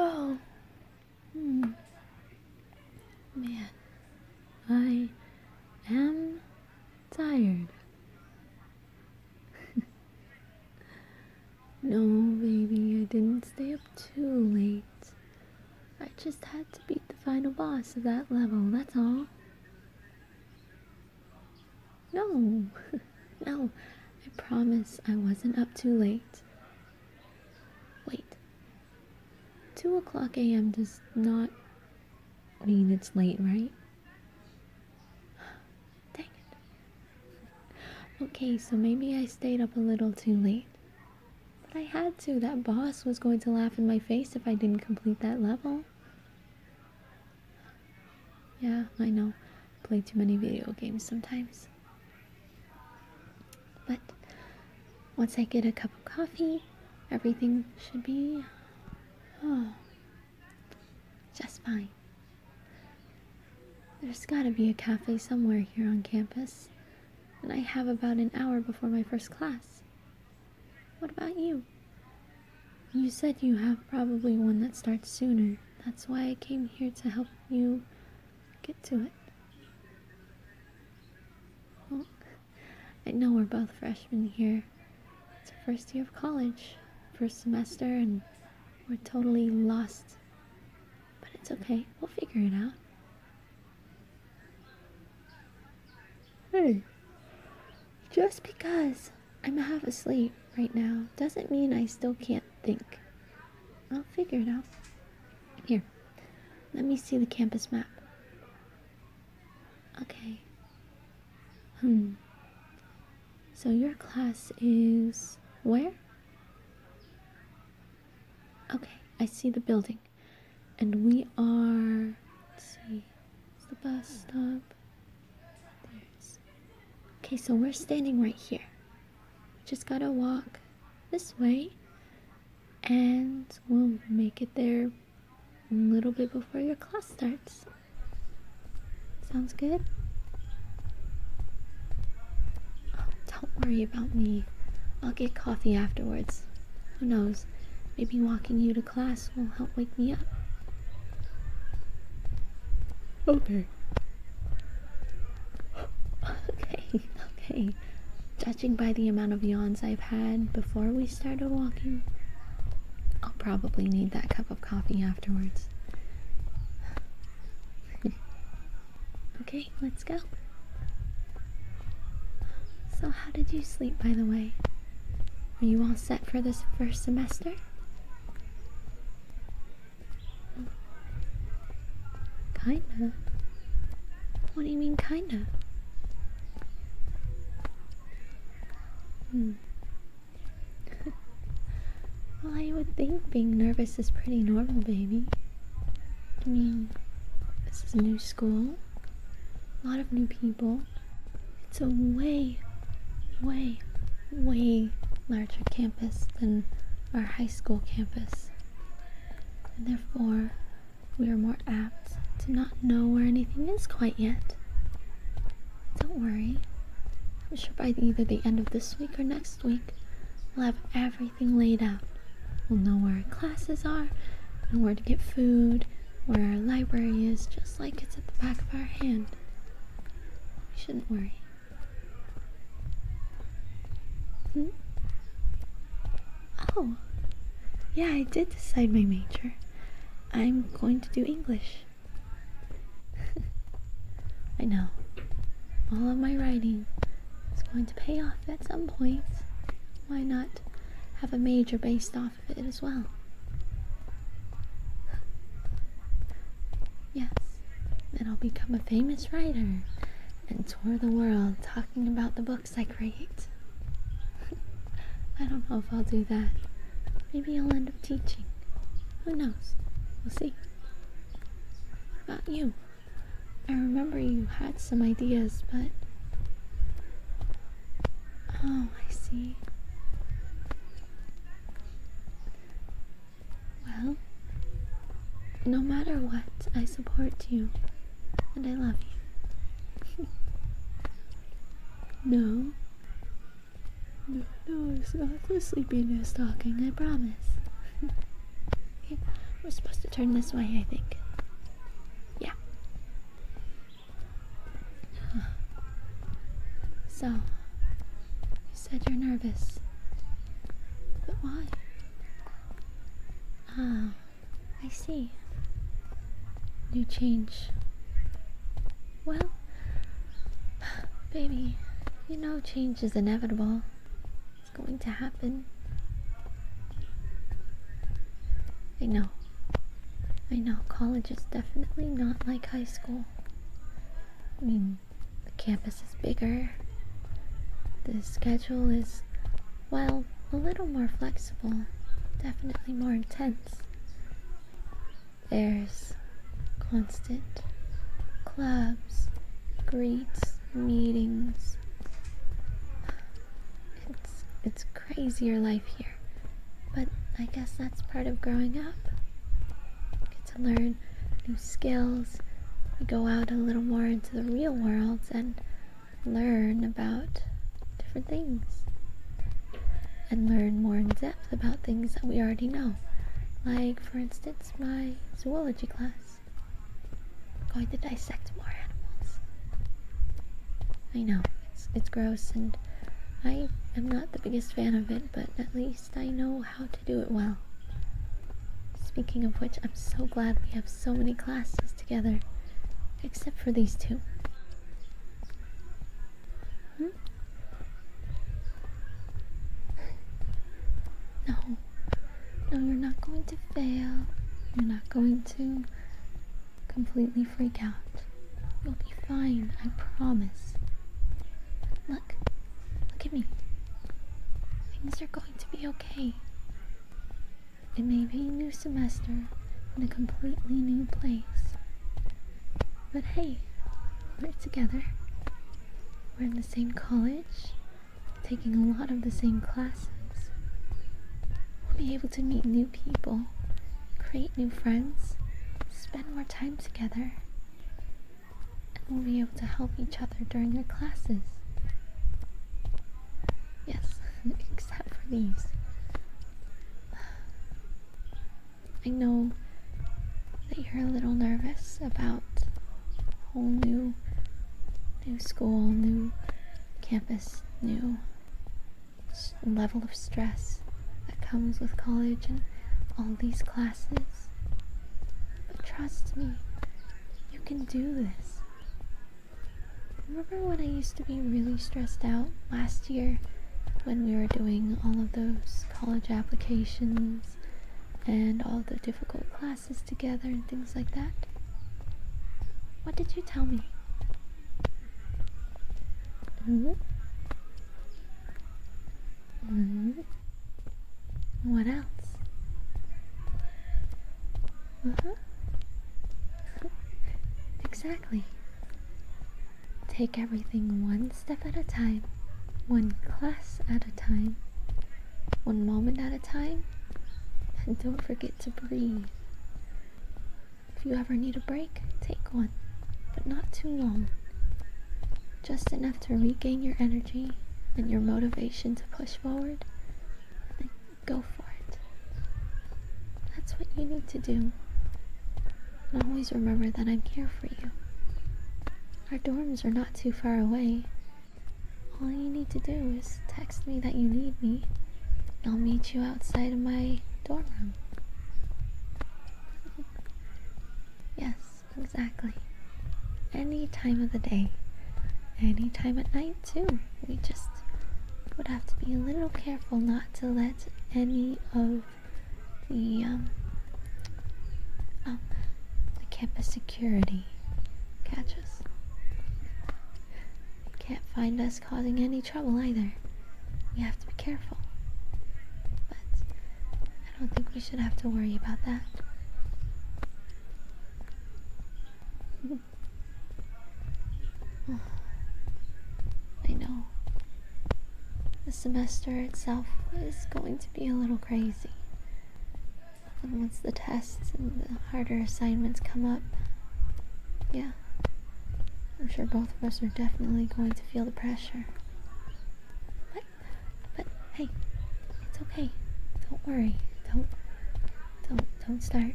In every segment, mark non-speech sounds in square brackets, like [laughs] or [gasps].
Oh, hmm. man, I am tired. [laughs] no, baby, I didn't stay up too late. I just had to beat the final boss of that level, that's all. No, [laughs] no, I promise I wasn't up too late. Wait, 2 o'clock a.m. does not mean it's late, right? [gasps] Dang it. Okay, so maybe I stayed up a little too late. But I had to. That boss was going to laugh in my face if I didn't complete that level. Yeah, I know. Play too many video games sometimes. But once I get a cup of coffee, everything should be oh, just fine. There's gotta be a cafe somewhere here on campus, and I have about an hour before my first class. What about you? You said you have probably one that starts sooner. That's why I came here to help you get to it. I know we're both freshmen here. It's our first year of college, first semester, and we're totally lost. But it's okay, we'll figure it out. Hey, just because I'm half asleep right now. Doesn't mean I still can't think. I'll figure it out. Here, let me see the campus map. Okay. Hmm. So your class is where? Okay, I see the building. And we are, let's see, it's the bus stop. Okay, so we're standing right here. Just gotta walk this way, and we'll make it there a little bit before your class starts. Sounds good? Oh, don't worry about me. I'll get coffee afterwards. Who knows? Maybe walking you to class will help wake me up. Okay. okay, okay. Judging by the amount of yawns I've had before we started walking, I'll probably need that cup of coffee afterwards. [laughs] okay, let's go. So, how did you sleep, by the way? Are you all set for this first semester? Kinda. What do you mean, kinda? Hmm. [laughs] well, I would think being nervous is pretty normal, baby. I mean, this is a new school, a lot of new people. It's a way, way, way larger campus than our high school campus. And therefore, we are more apt to not know where anything is quite yet. Don't worry. I'm sure by either the end of this week or next week, we'll have everything laid out. We'll know where our classes are and where to get food where our library is, just like it's at the back of our hand. We shouldn't worry. Hmm. Oh, yeah, I did decide my major. I'm going to do English. [laughs] I know. All of my writing is going to pay off at some point. Why not have a major based off off it as well. Yes, and I'll become a famous writer and tour the world talking about the books I create. [laughs] I don't know if I'll do that. Maybe I'll end up teaching. Who knows? We'll see. What about you? I remember you had some ideas, but Oh, I see. Well, no matter what, I support you and I love you. [laughs] no. No, no, it's not the sleepiness talking, I promise. [laughs] we're supposed to turn this way, I think. Yeah. So, you said you're nervous. But why? Ah, I see. New change. Well, [sighs] baby, you know change is inevitable. It's going to happen. I know. I know college is definitely not like high school. I mean, the campus is bigger. The schedule is, well, a little more flexible, definitely more intense. There's constant clubs, greets, meetings. It's it's crazier life here. But I guess that's part of growing up. Get to learn new skills. go out a little more into the real world and learn about different things. And learn more in depth about things that we already know. Like, for instance, my zoology class. Going to dissect more animals. I know it's it's gross, and I am not the biggest fan of it, but at least I know how to do it well. Speaking of which, I'm so glad we have so many classes together, except for these two. Hmm? No, no, you're not going to fail. You're not going to completely freak out. You'll be fine, I promise. Look, look at me. Things are going to be okay. It may be a new semester and a completely new place. But hey, we're together. We're in the same college taking a lot of the same classes. We'll be able to meet new people, create new friends, spend more time together, and we'll be able to help each other during our classes. Yes, [laughs] except for these. I know that you're a little nervous about a whole new new school, new campus, new level of stress that comes with college and all these classes. But trust me, you can do this. Remember when I used to be really stressed out last year when we were doing all of those college applications and all the difficult classes? together and things like that? What did you tell me? Mm-hmm. Mm-hmm. What else? Mm-hmm. exactly. Take everything one step at a time, one class at a time, one moment at a time. And don't forget to breathe. If you ever need a break, take one, but not too long. Just enough to regain your energy and your motivation to push forward go for it. That's what you need to do. And always remember that I'm here for you. Our dorms are not too far away, all you need to do is text me that you need me. I'll meet you outside of my dorm room. Yes, exactly. Any time of the day. Any time at night, too. We just would have to be a little careful not to let any of the, um, um, the campus security catch us. Can't find us causing any trouble either. We have to be careful. But I don't think we should have to worry about that. [sighs] I know. The semester itself is going to be a little crazy. And once the tests and the harder assignments come up, yeah, I'm sure both of us are definitely going to feel the pressure. But, but hey, it's okay. Don't worry. Don't, don't, don't start.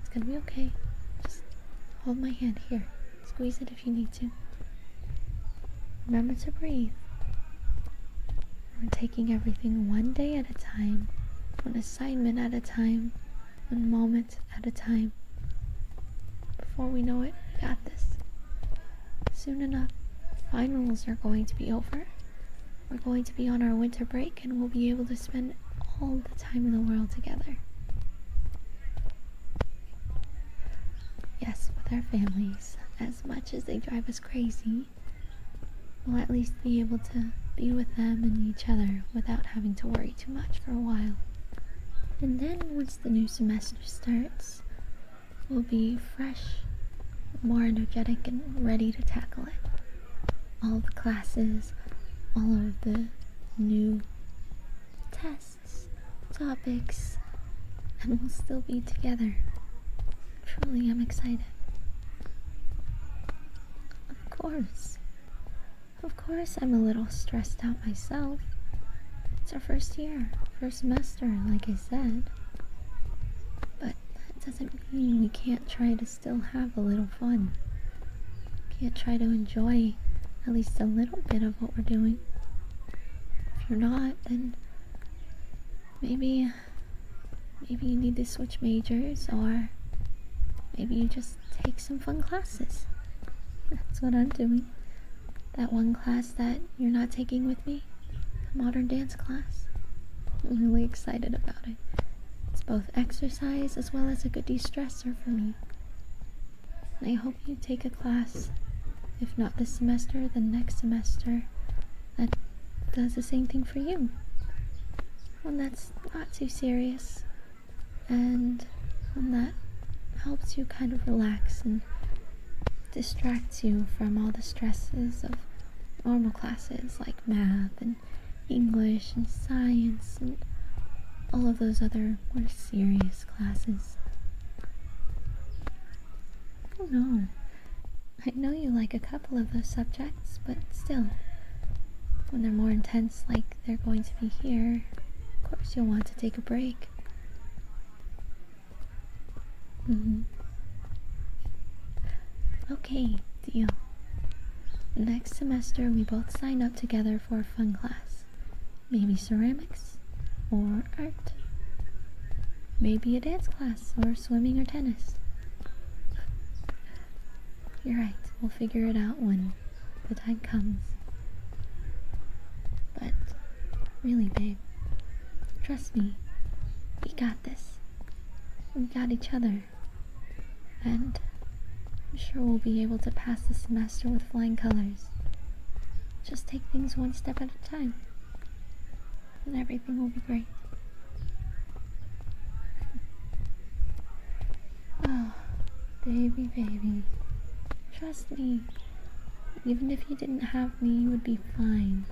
It's gonna be okay. Just hold my hand here. Squeeze it if you need to. Remember to breathe. We're taking everything one day at a time, one assignment at a time, one moment at a time. Before we know it, we got this. Soon enough, finals are going to be over. We're going to be on our winter break and we'll be able to spend all the time in the world together. Yes, with our families, as much as they drive us crazy, we'll at least be able to be with them and each other without having to worry too much for a while. And then once the new semester starts, we'll be fresh, more energetic, and ready to tackle it. All the classes, all of the new tests topics, and we'll still be together. Truly, I'm excited. Of course. Of course, I'm a little stressed out myself. It's our first year, first semester, like I said. But that doesn't mean we can't try to still have a little fun. Can't try to enjoy at least a little bit of what we're doing. If you're not, then maybe maybe you need to switch majors or maybe you just take some fun classes. That's what I'm doing. That one class that you're not taking with me, the modern dance class. I'm really excited about it. It's both exercise as well as a good de stressor for me. I hope you take a class, if not this semester, then next semester, that does the same thing for you. One that's not too serious, and one that helps you kind of relax and distracts you from all the stresses of normal classes like math and English and science and all of those other more serious classes. I do know. I know you like a couple of those subjects, but still, when they're more intense like they're going to be here, of course you'll want to take a break. hmm Okay, deal. Next semester we both sign up together for a fun class. Maybe ceramics or art. Maybe a dance class or swimming or tennis. You're right, we'll figure it out when the time comes. But really, babe, trust me, we got this. We got each other. And I'm sure we'll be able to pass the semester with flying colors. Just take things one step at a time, and everything will be great. Oh, [laughs] baby, baby. Trust me. Even if you didn't have me, you would be fine.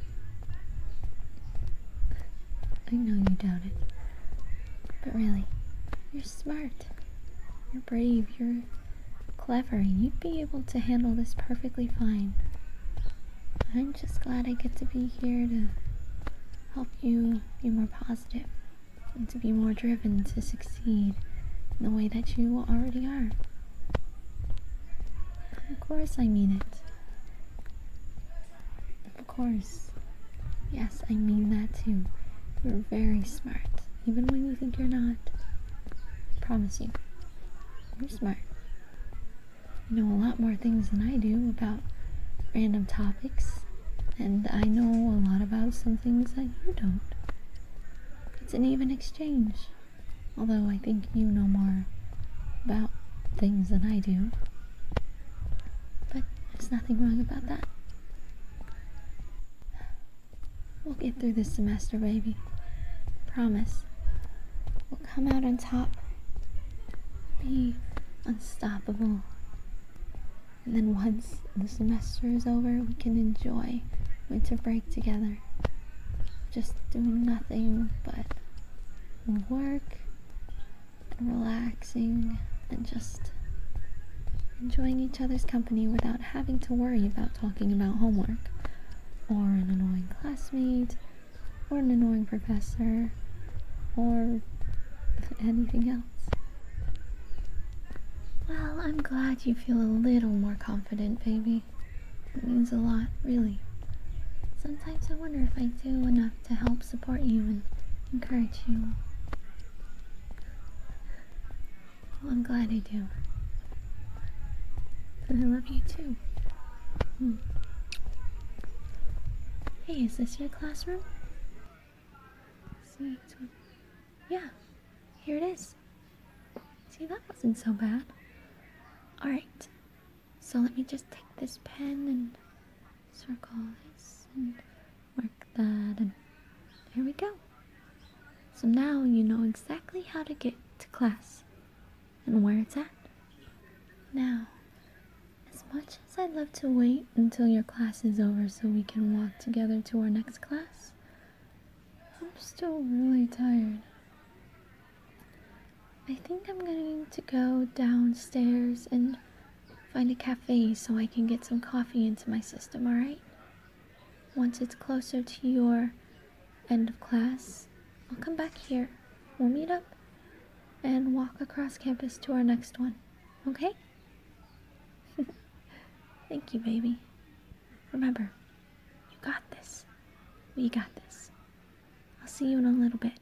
I know you doubt it. But really, you're smart. You're brave. You're clever you'd be able to handle this perfectly fine. I'm just glad I get to be here to help you be more positive and to be more driven to succeed in the way that you already are. Of course, I mean it. Of course, Yes, I mean that too. You're very smart, even when you think you're not. I promise you, you're smart. You know a lot more things than I do about random topics, and I know a lot about some things that you don't. It's an even exchange, although I think you know more about things than I do. But there's nothing wrong about that. We'll get through this semester, baby. Promise. We'll come out on top. Be unstoppable. And then once the semester is over, we can enjoy winter break together. Just doing nothing but work and relaxing and just enjoying each other's company without having to worry about talking about homework or an annoying classmate or an annoying professor or anything else. Well, I'm glad you feel a little more confident, baby. It means a lot, really. Sometimes I wonder if I do enough to help support you and encourage you. Well, I'm glad I do. but I love you too. Hmm. Hey, is this your classroom? Yeah, here it is. See, that wasn't so bad. Alright, so let me just take this pen and circle this Work that and there we go. So now you know exactly how to get to class and where it's at. Now, as much as I'd love to wait until your class is over so we can walk together to our next class, I'm still really tired. I think I'm going to go downstairs and Find a cafe so I can get some coffee into my system, alright? Once it's closer to your end of class, I'll come back here. We'll meet up and walk across campus to our next one, okay? [laughs] Thank you, baby. Remember, you got this. We got this. I'll see you in a little bit.